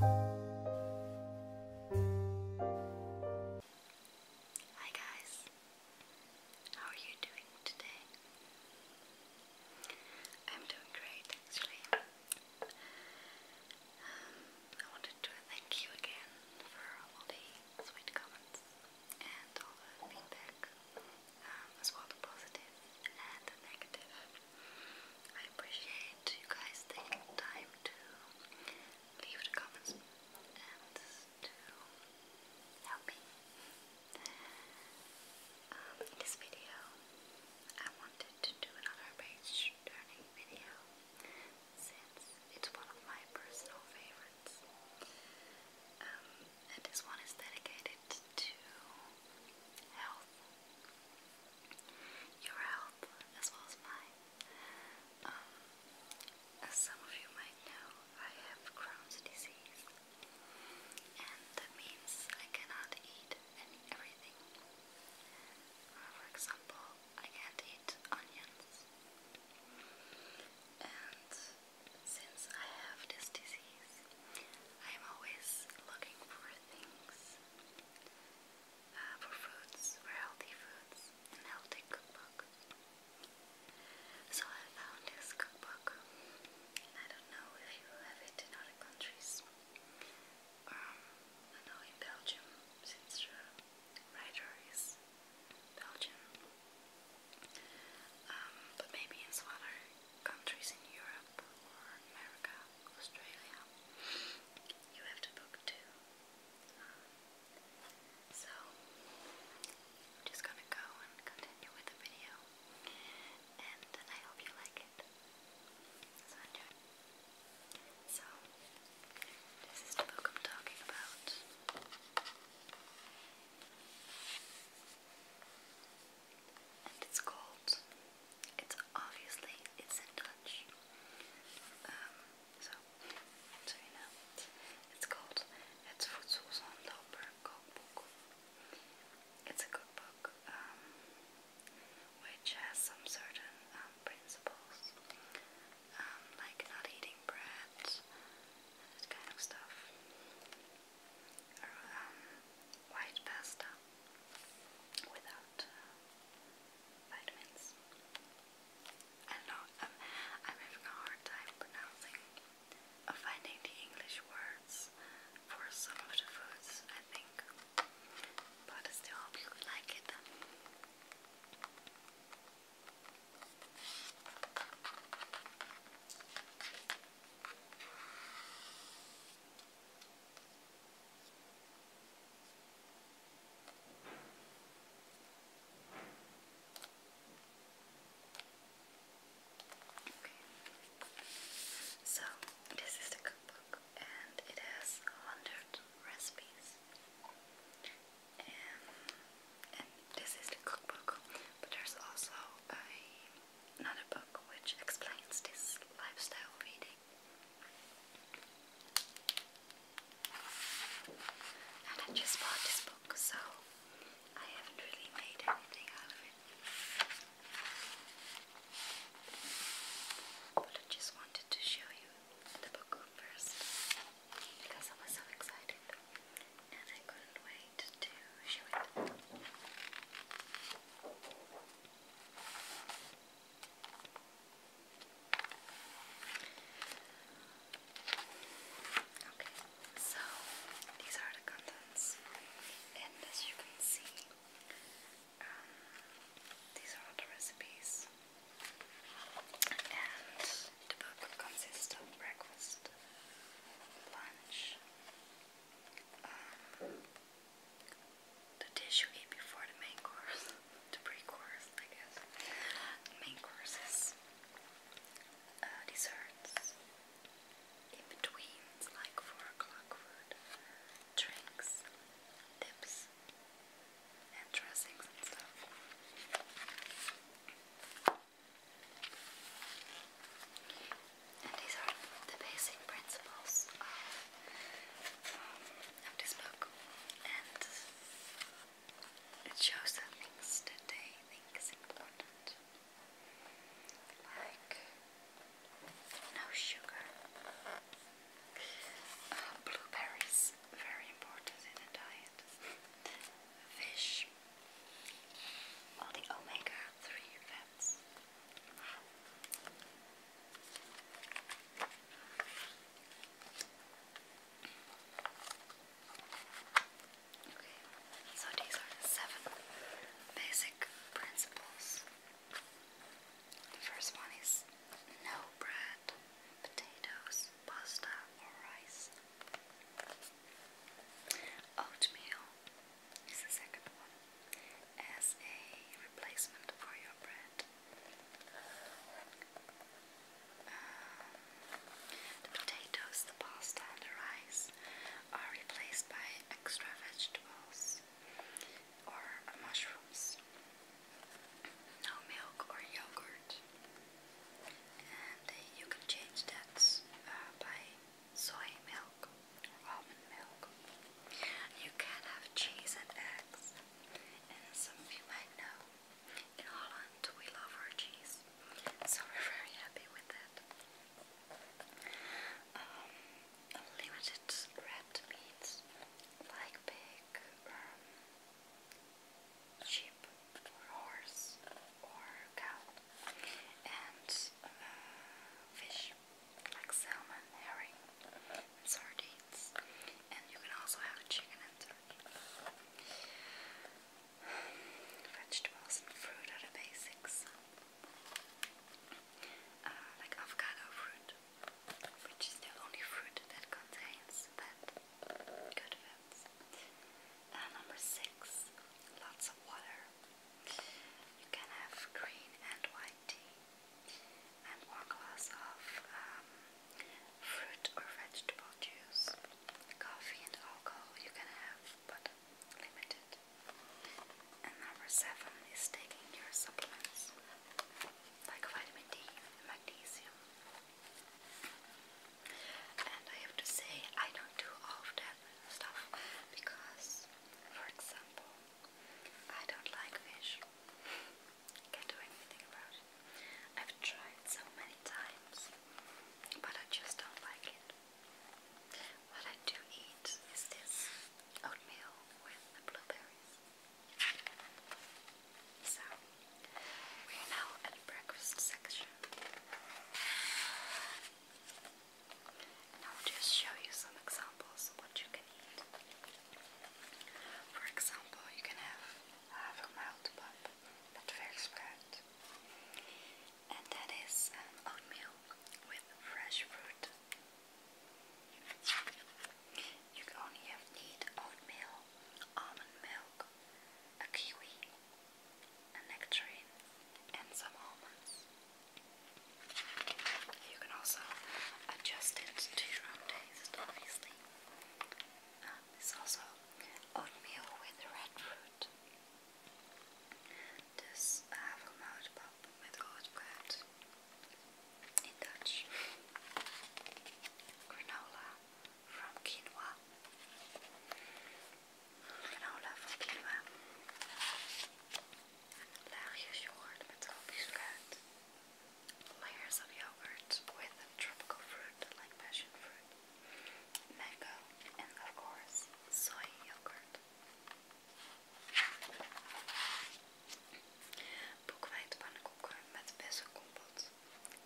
Hi guys, how are you doing today? I'm doing great actually. Um, I wanted to thank you again for all the sweet comments and all the feedback, um, as well the positive and the negative. I appreciate you guys taking time to leave comments and to help me. Um, in this video, I wanted to do another page turning video since it's one of my personal favorites. Um, and this one is dedicated to health your health as well as mine. Um, as some of you might know, I have Crohn's disease, and that means I cannot eat everything. Uh, for example, I can't eat onions, and since I have this disease, I'm always looking for things uh, for foods, for healthy foods, and healthy cookbook. So I found this cookbook. I don't know if you have it in other countries. Um, I know in Belgium, since the writer is Belgian. Um, but maybe in some countries in Europe or America, Australia, you have to book two. so, I'm just gonna go and continue with the video, and I hope you like it. So, enjoy. So, this is the book I'm talking about and it's called. It's obviously it's in Dutch. Um, so so you know, it's called Het Voedselzandloper Cookbook. It's a cookbook um, which has some certain um, principles, like not eating bread, that kind of stuff, or white pasta without uh, vitamins. I don't know, I'm, having a hard time pronouncing uh, finding the English words for some of the foods, I think. But I still hope you like it. So this is the cookbook and it has a hundred recipes. And, this is the cookbook, but there's also another book which explains this lifestyle video. I just bought this book, so I haven't really made anything out of it. But I just wanted to show you the book first because I was so excited and I couldn't wait to show it. Okay, so these are the contents, and as you can see, um, these are all the recipes, and the book consists of breakfast, lunch, um, the dish you eat before the main course, the pre-course, I guess. main course uh, desserts in between, like four o'clock food, drinks, dips, dressings and stuff and these are the basic principles of, um, this book. it shows the things that think is important, like no sugar, uh, blueberries, very important in a diet, fish, all the omega so these are the seven basic principles. The first one is no bread, potatoes, pasta, or rice. Oatmeal, is the second one, as a replacement for your bread. Um, the potatoes, the pasta, and the rice are replaced by extra vegetables or mushrooms. No milk or yogurt. And you can change that uh, by soy milk, or almond milk. You can have cheese and eggs, and some of you might know, in Holland we love our cheese, so we're very happy with that. Um, limited red meats, like pig, um, sheep, or horse, or cow, and uh, fish like salmon, herring, and sardines. And you can also have chicken and turkey. Vegetables and fruit are the basics. Uh, like avocado fruit, which is the only fruit that contains bad, good fats. Uh, number six, lots of water. You can have green and white tea, and one glass of um, fruit or vegetable juice. Coffee and alcohol you can have, but limited. And number seven is taking your supplements like vitamin D and magnesium. And I have to say, I don't do all of that stuff because, for example, I don't like fish. Can't do anything about it. I've tried so many times, but I just don't like it. What I do eat is this oatmeal with the blueberries. So, we're now at the breakfast section. And I'll just show you some examples of what you can eat. For example, you can have havermeltpap met verspruit. And that is um, oatmeal with fresh fruit. You can only have need oatmeal, almond milk, a kiwi, a nectarine, and some almonds. You can also adjust it to your own taste, obviously. Um, also oatmeal with red fruit. Dus uh, havermoutpap met rood brood. In Dutch. Granola from quinoa. Granola from quinoa layers of yogurt with tropical fruit like passion fruit, mango, and of course, soy yogurt. Boekwijd pannenkoeken met bessencompot,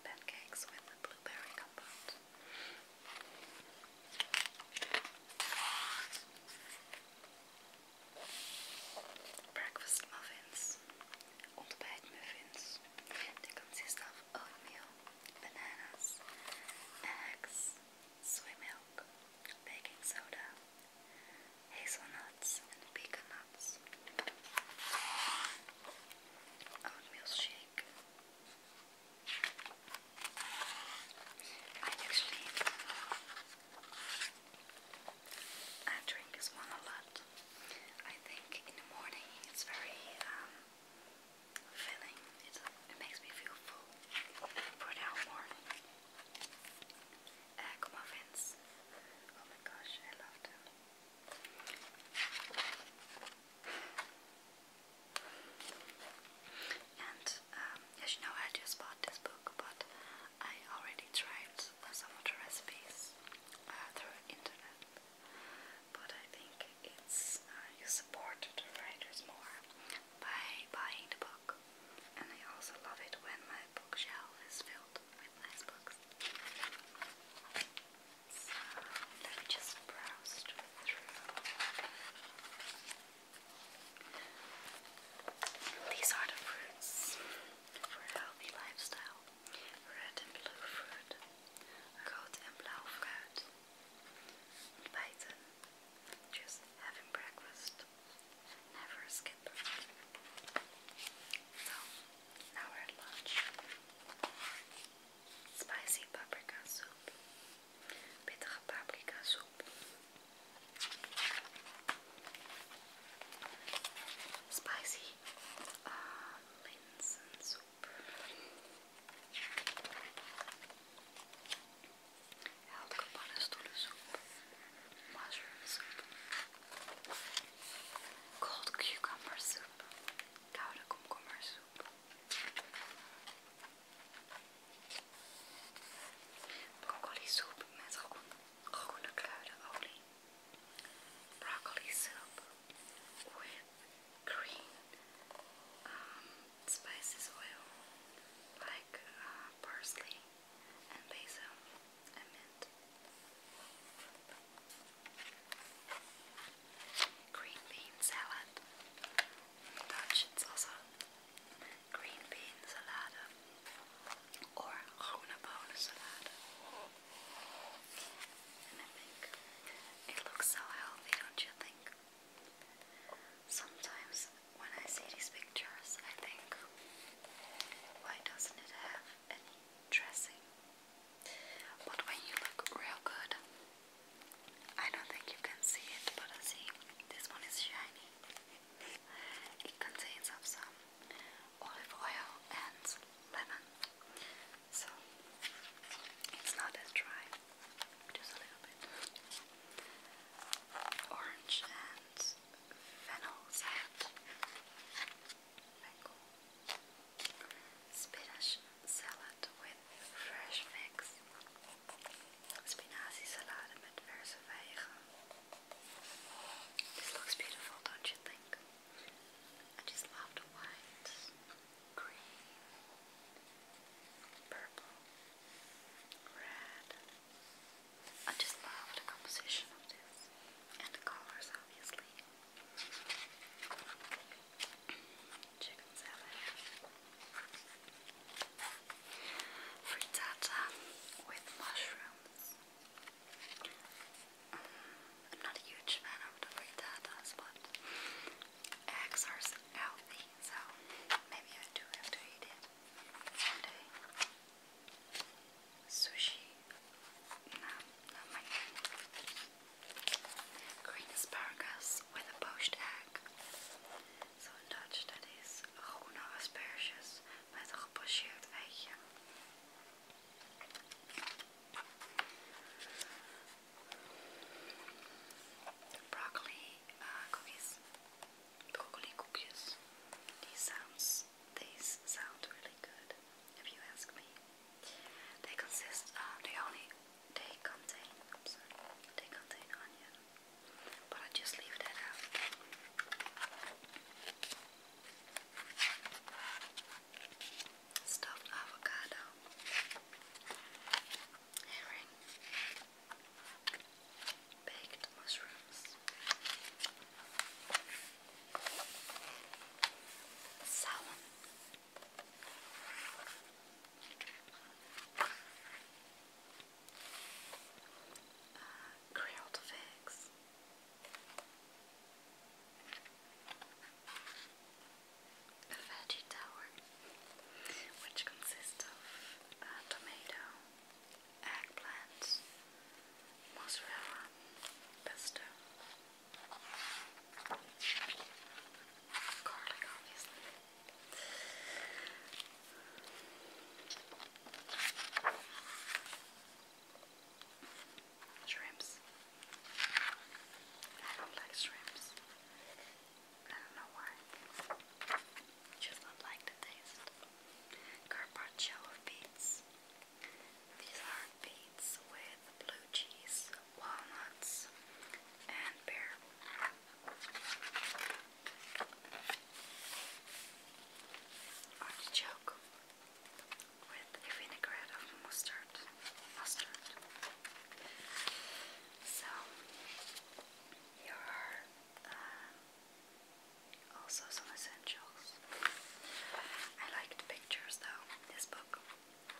pancakes with blueberry compote. Breakfast muffins, old muffins. They consist of oatmeal, bananas, eggs, soy milk, baking soda, hazelnuts, and pecan Oatmeal shake, I actually I drink this one a lot. I think in the morning it's very um, filling. it makes me feel full for the whole morning. Egg muffins. Oh my gosh, I love them. And um, as you know, I just bought this book, but I already tried some of recipes uh, through internet. But I think it's uh, you support the writers more by buying the book. And I also love it when my bookshelf is filled with nice books. let me just browse through. These are the fruits for a healthy lifestyle. Red en blue fruit. Rood en blauw fruit. Just having breakfast. Never skip. So, now we're at lunch. Spicy paprika soup. pittige paprika soep. Spicy uh, soep, Heldere pannenstoelensoep. Mushroom soep. Cold cucumber soep. Koude komkommersoep. Broccoli soup with green um, spices oil like uh, parsley and basil and mint. Green bean salad. Dutch, it's also green bean salad, or groene bonen salade. And I think it looks so healthy, don't you think? Sometimes when I see these pictures, I think, why doesn't it have any dressing? But when you look real good, I don't think you can see it, but I see this one is shiny. It contains of some olive oil and lemon, so it's not as dry, just a little bit. Orange and fennel salad, spinach salad with fresh figs. Spinazie-salade met verse vijgen. This looks beautiful, don't you think? I just love the white, green, purple, red. I just love the composition of this and the colors, obviously chicken salad. Frittata with mushrooms. Mm, I'm not a huge fan of the but eggs are healthy, so maybe I do have to eat it someday. Sushi. No, not my thing. Green asparagus with a poached egg. so in Dutch, dat is asparagus asperges met een egg. eitje. Broccoli uh, cookies. Broccoli cookies. These sounds, these sound really good, if you ask me. They consist, of eh, the only they contain, I'm sorry, they contain onion, but I just leave that out. Stuffed avocado, herring, baked mushrooms, salmon. Uh, grilled figs. veggie tower, which consists of uh, tomato, eggplant, mozzarella, pesto, garlic, obviously, Shrimps. I don't like shrimps. I don't know why. Just not like the taste. Carpaccio of beets. These are beets with blue cheese, walnuts, and pear. Artichoke with a vinaigrette mustard. Mustard. So here are uh, also some essentials. I like pictures though. This book,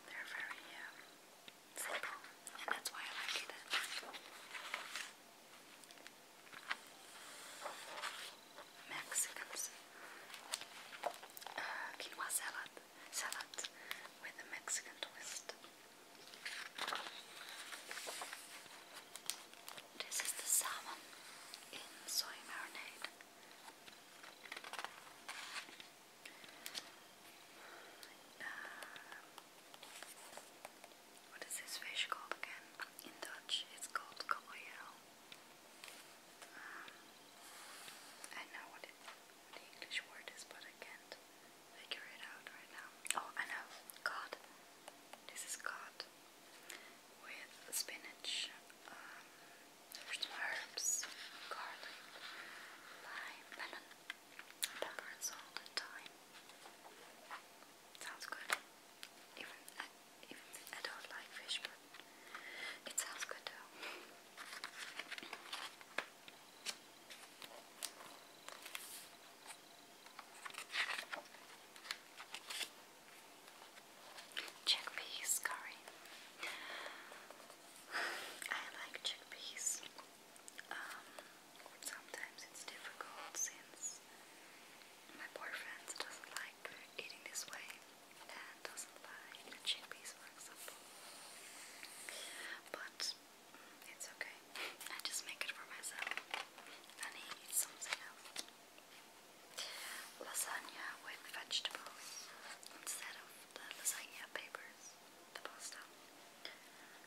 they're very. Uh, simple, and that's why I like it. Mexicans. Uh, quinoa salad. Salad with a Mexican twist. This is the salmon in soy marinade. Uh, what is this fish called again? In Dutch, it's called kabeljauw. Um, I know what, the English word is, but I can't figure it out right now. Oh, I know. Cod. This is cod with spinach, um, herbs, garlic, lime, lemon. Pepper and salt and thyme. Sounds good. Even uh, I, don't like fish, but it sounds good though. Chickpeas curry. I like chickpeas. Um, sometimes it's difficult since my boyfriend doesn't like eating this way and doesn't like chickpeas, for example. But it's okay. I just make it for myself and he something else. Lasagna with vegetables instead of the lasagna papers, the pasta.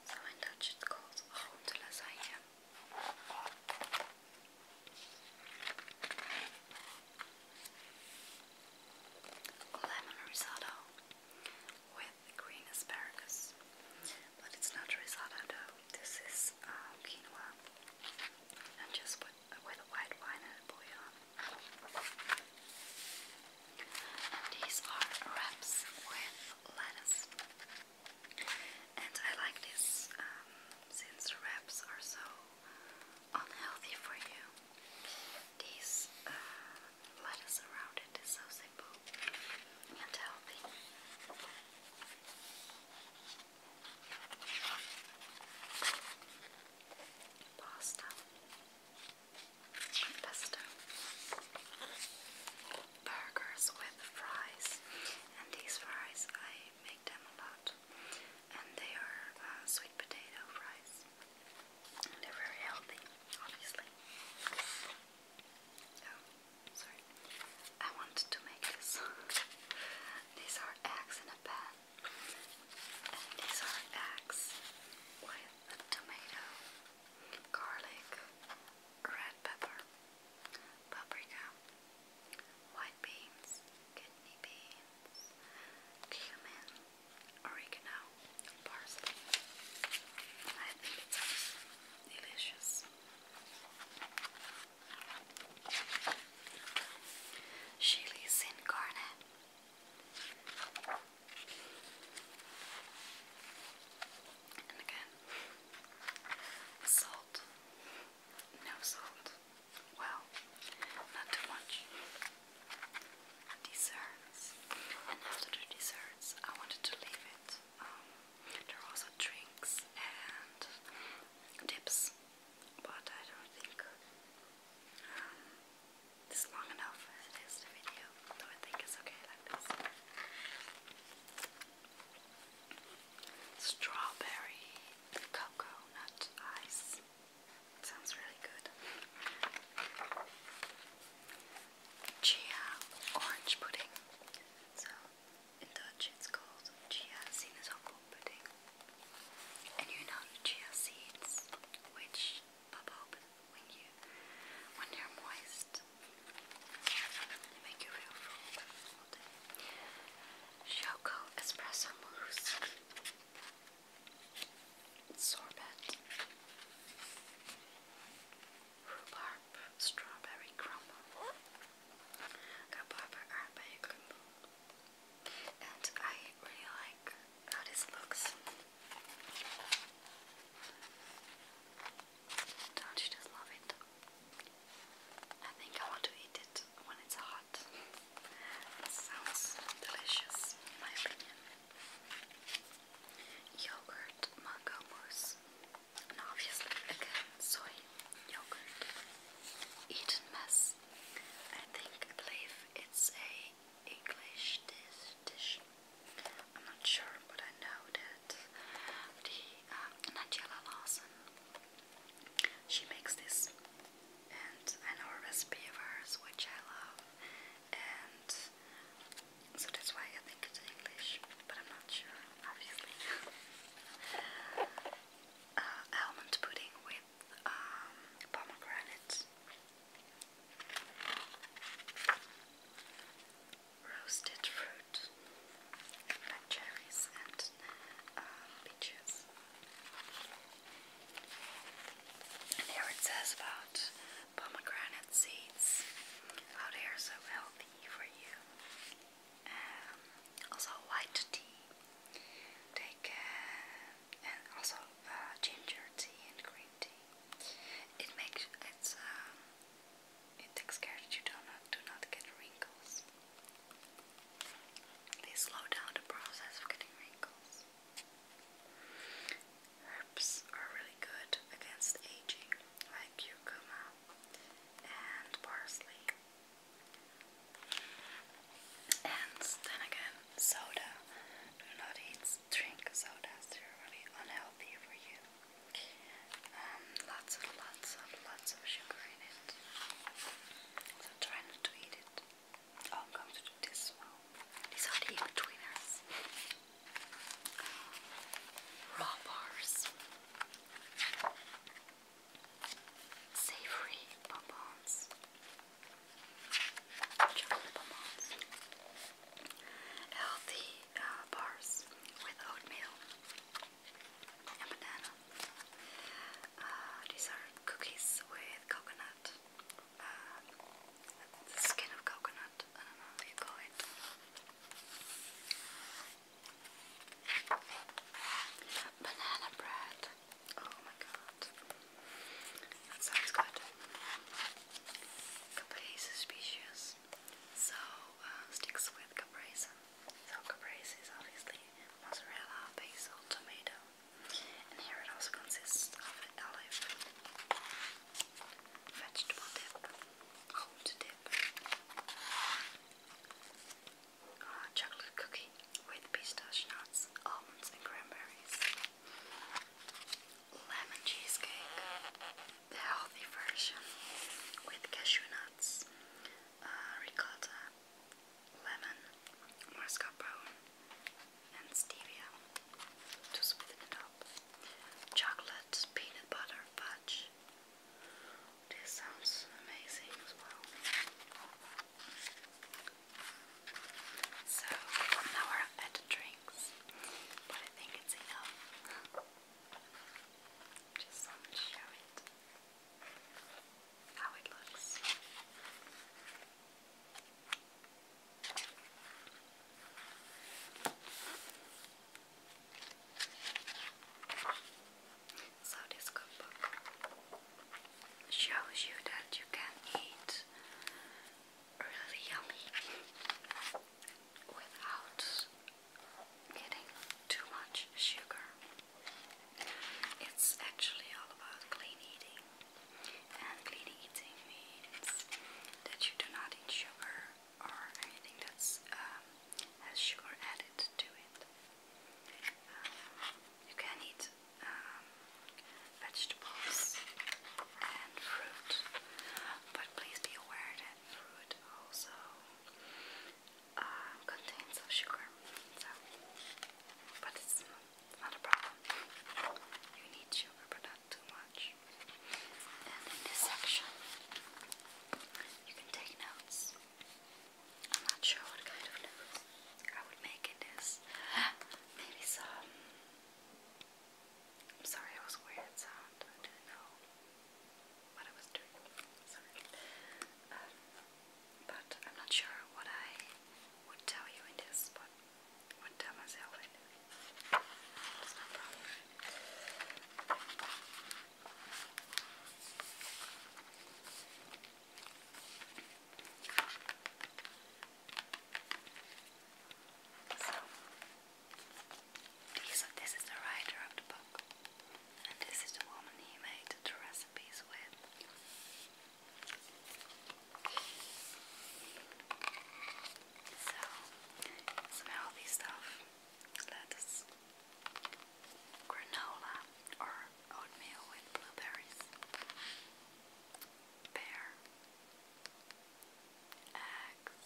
So in Dutch it's called groente lasagne. Lemon risotto with green asparagus. But it's not risotto this is uh, quinoa. And just put, with white wine and a and these are wraps with lettuce. And I like this um, since wraps are so unhealthy for you. These uh, lettuce around it is so simple and healthy. Pasta pesto, burgers with fries, and these fries I make them a lot, and they are uh, sweet potato fries. they're very healthy, obviously. Oh, sorry. I wanted to make this. these are eggs in a pan. And these are eggs with a tomato garlic, red pepper, paprika, white beans, kidney beans, cumin, oregano, parsley. I think it delicious. Chilies in garnet. Again, salt, no salt, well, not too much. Desserts, and after the desserts, I wanted to leave it. Um, there are also drinks and dips, but I don't think um, this is long enough as it is the video, though I think it's okay like this. Strawberry cocoa ice. Sounds really good. Chia orange pudding. So in Dutch it's called chia sinaasappel pudding. And you know chia seeds, which Papa opened when you when they're moist. They make you feel full all day. Choco espresso mousse. Sorbet. Rhubarb strawberry crumble. Rhubarb herb And I really like how this looks. Don't you just love it? I think I want to eat it when it's hot. sounds delicious, my opinion. Yogurt mango And obviously, again, soy yogurt. Eaten mess. I think, I believe it's a English dish. I'm not sure, but I know that the um, uh, Nigella Lawson she makes this, and I know a recipe of hers which I love, and so that's why I think it's English, but I'm not sure, obviously. Uh, almond pudding with um, roasted fruit, like cherries and uh, peaches. And here it says about pomegranate seeds, Out here, so healthy for you. Um, also white tea, take uh, and also uh, ginger tea and green tea. It makes it's um, it takes you do not do not get wrinkles. They slow down the process of getting wrinkles. Herbs are really good against aging, like cucumber and parsley. And then again, soda. Do not eat just drink sodas, they really unhealthy for you. Um, lots and lots and lots of sugar in it. So try not to eat it. Oh, I'm going to do this one. These are the in Raw bars. Savory bonbons chocolate bonbons, healthy uh, bars with oatmeal and banana. Uh, cookies with coconut, uh, the skin of coconut. I don't know how you call it. Banana bread. Oh my god. That sounds good. Capri is suspicious, so uh, sticks with caprese. So caprese is obviously mozzarella, basil, tomato, and here it also consists of an olive, vegetable dip, cold dip, uh, chocolate cookie with pistache almonds, and cranberries lemon cheesecake, the healthy version with cashew nuts, uh, ricotta, lemon, mascarpone, and stevia to sweeten it up. Chocolate, peanut butter, fudge. This sounds amazing as well. So now we're at drinks, but I think it's enough. Just show it how it looks. So this shows you that you can eat really yummy without getting too much sugar. It's actually all about clean eating, and clean eating means that you do not eat sugar or anything that's um, has sugar added to it. Um, you can eat um, vegetables and fruit. But please be aware that fruit also uh, contains sugar. So, but it's not a problem. You need sugar, but not too much. And in this section, you can take notes. I'm not sure what kind of notes I would make in this. Maybe some. I'm sorry, it was weird sound. I didn't know what I was doing. Sorry. Um, but I'm not sure what I would tell you in this, but would tell myself so, this is the writer of the book, and this is the woman he made the recipes with. So, some healthy stuff lettuce, granola, or oatmeal with blueberries. Bear Eggs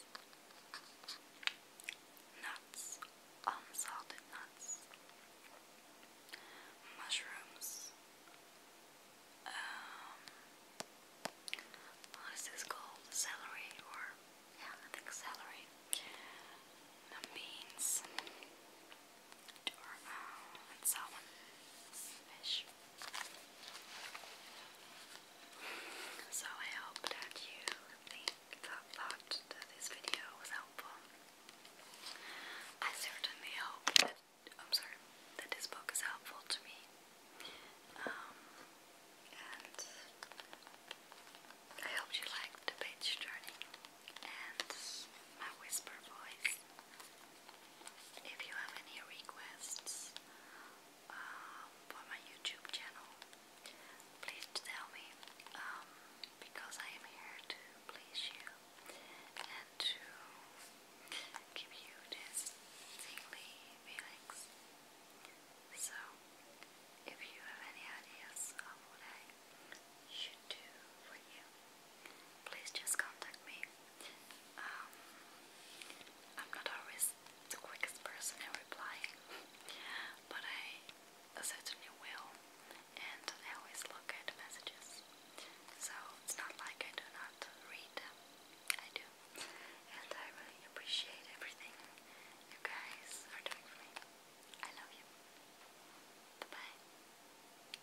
Nuts Unsalted nuts Mushrooms um, What is this called? Celery or yeah I think celery Beans or So I hope that you think that, this video was helpful. I certainly hope that this book is helpful to me. Um, and I hope you liked the page turning and my whisper voice. If you have any requests um, for my YouTube channel, please tell me um, because I am here to please you and to give you this tingly feelings. So, if you have any ideas of what I should do for you, please just contact me. Um, I'm not always the quickest person in replying, but I certainly will, and I always look at messages. So it's not like I do not read them. I do, and I really appreciate everything you guys are doing for me. I love you. Bye bye.